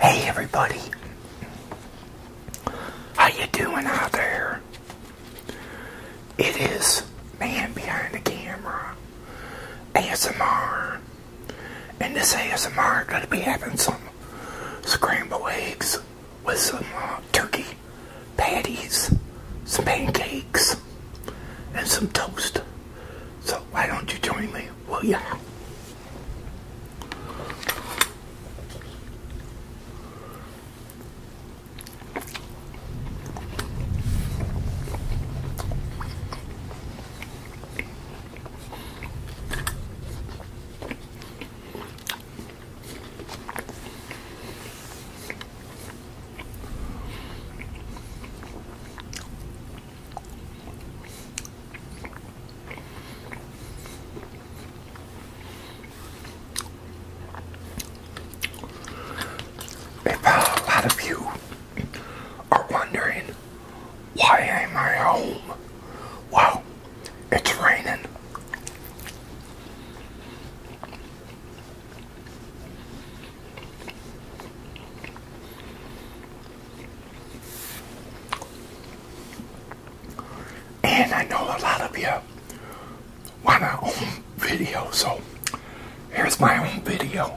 Hey everybody. How you doing out there? It is man behind the camera. ASMR. And this ASMR gonna be having some scrambled eggs with some uh, turkey patties, some pancakes, and some toast. So why don't you join me? Well, yeah. If uh, a lot of you are wondering why am I home, well, it's raining. And I know a lot of you want our own video, so here's my own video.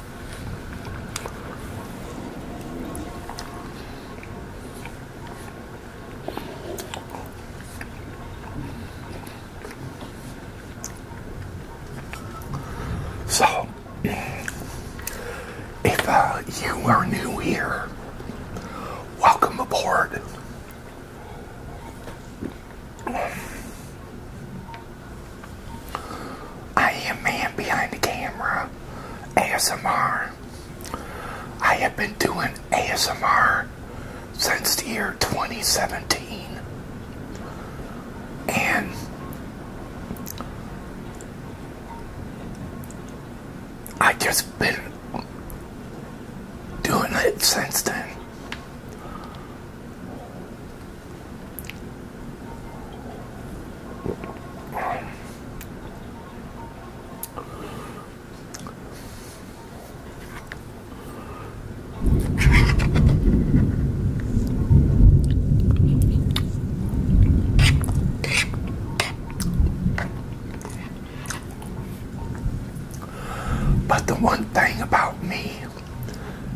So, if uh, you are new here, welcome aboard. I am man behind the camera ASMR. I have been doing ASMR since the year 2017 and I just been doing it since then. But the one thing about me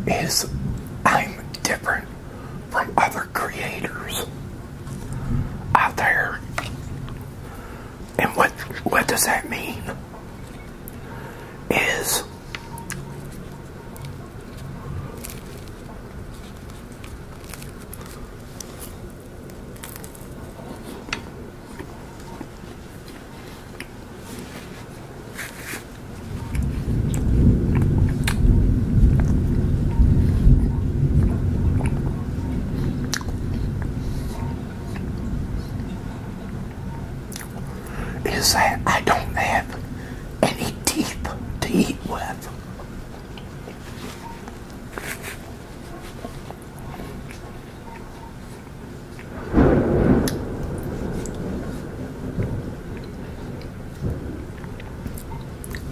is I'm different from other creators out there. And what what does that mean? Is is that I don't have any teeth to eat with.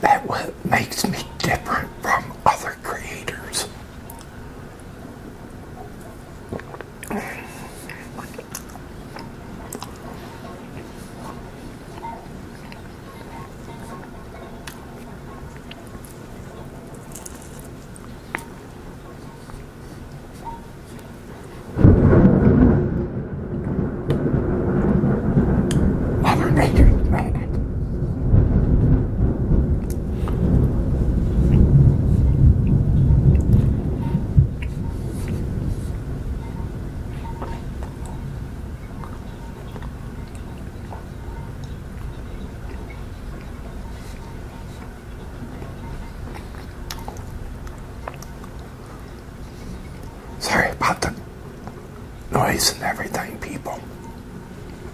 that what makes me different from other creators. Mother Sorry about the noise and everything, people.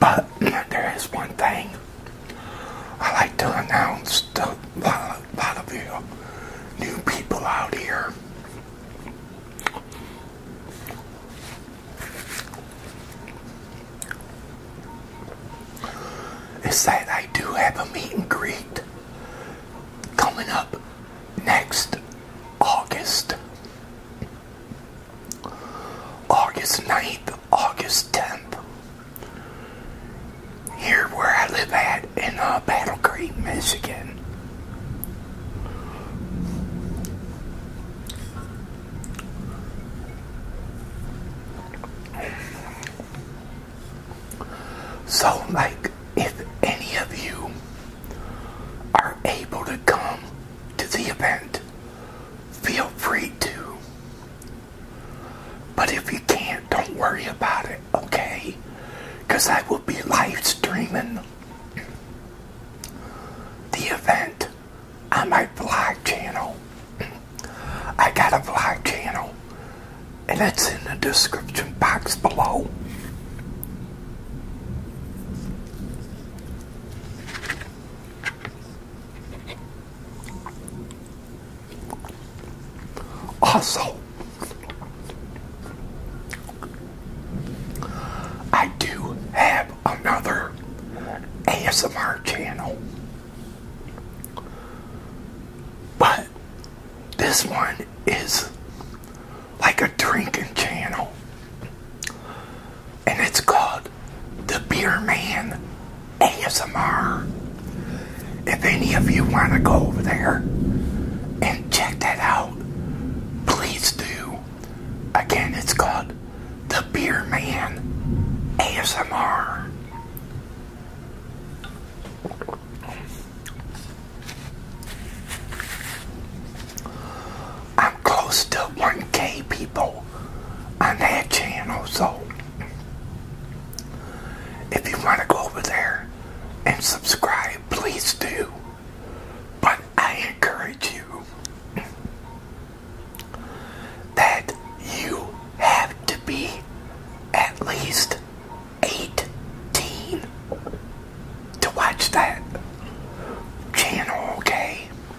But there is one thing I like to announce to a lot, of you new people out here. Is that I do have a meet and greet coming up next August. August 9th, August 10th. Here where I live at in uh, Battle Creek, Michigan. So, like, if any of you are able to come to the event, feel free to. But if you can't, don't worry about it, okay? Because I will be live streaming the event on my vlog channel. I got a vlog channel, and it's in the description box below. Also, I do have another ASMR channel, but this one is like a drinking channel and it's called The Beer Man ASMR. If any of you want to go over there and check that out, please do. Again, it's called The Beer Man ASMR. I'm close to 1k people on that channel, so if you want to go over there and subscribe, please do. But I encourage you that you have to be at least 18 to watch that channel, okay?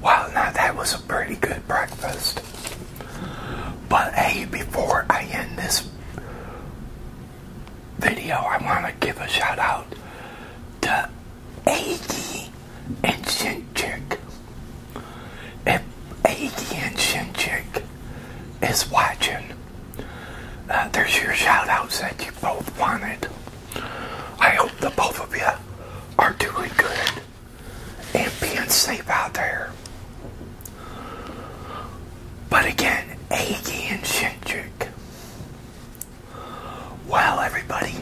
Well, now that was a pretty good breakfast. But hey, before I end this video, I want to give a shout out to Aggie and Shinchik. If and Shinchik is watching, uh, there's your shout outs that you both wanted. I hope the both of you are doing good and being safe out there. But again, Aggie and Shinchik. Well, everybody,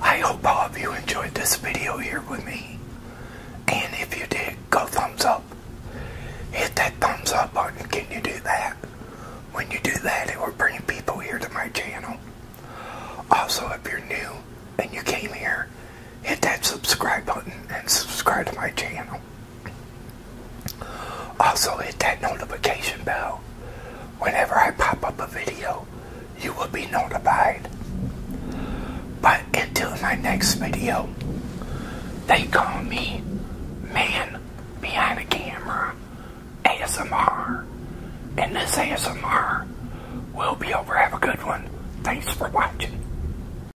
I hope all of you enjoyed this video here with me. And if you did, go thumbs up. Hit that thumbs up button. Can you do that? When you do that, it will bring people here to my channel. Also, if you're new and you came here, hit that subscribe button and subscribe to my channel. Also, hit that notification bell. Whenever I pop up a video, you will be notified. But until my next video, they call me Man Behind the Camera ASMR. And this ASMR will be over. Have a good one. Thanks for watching.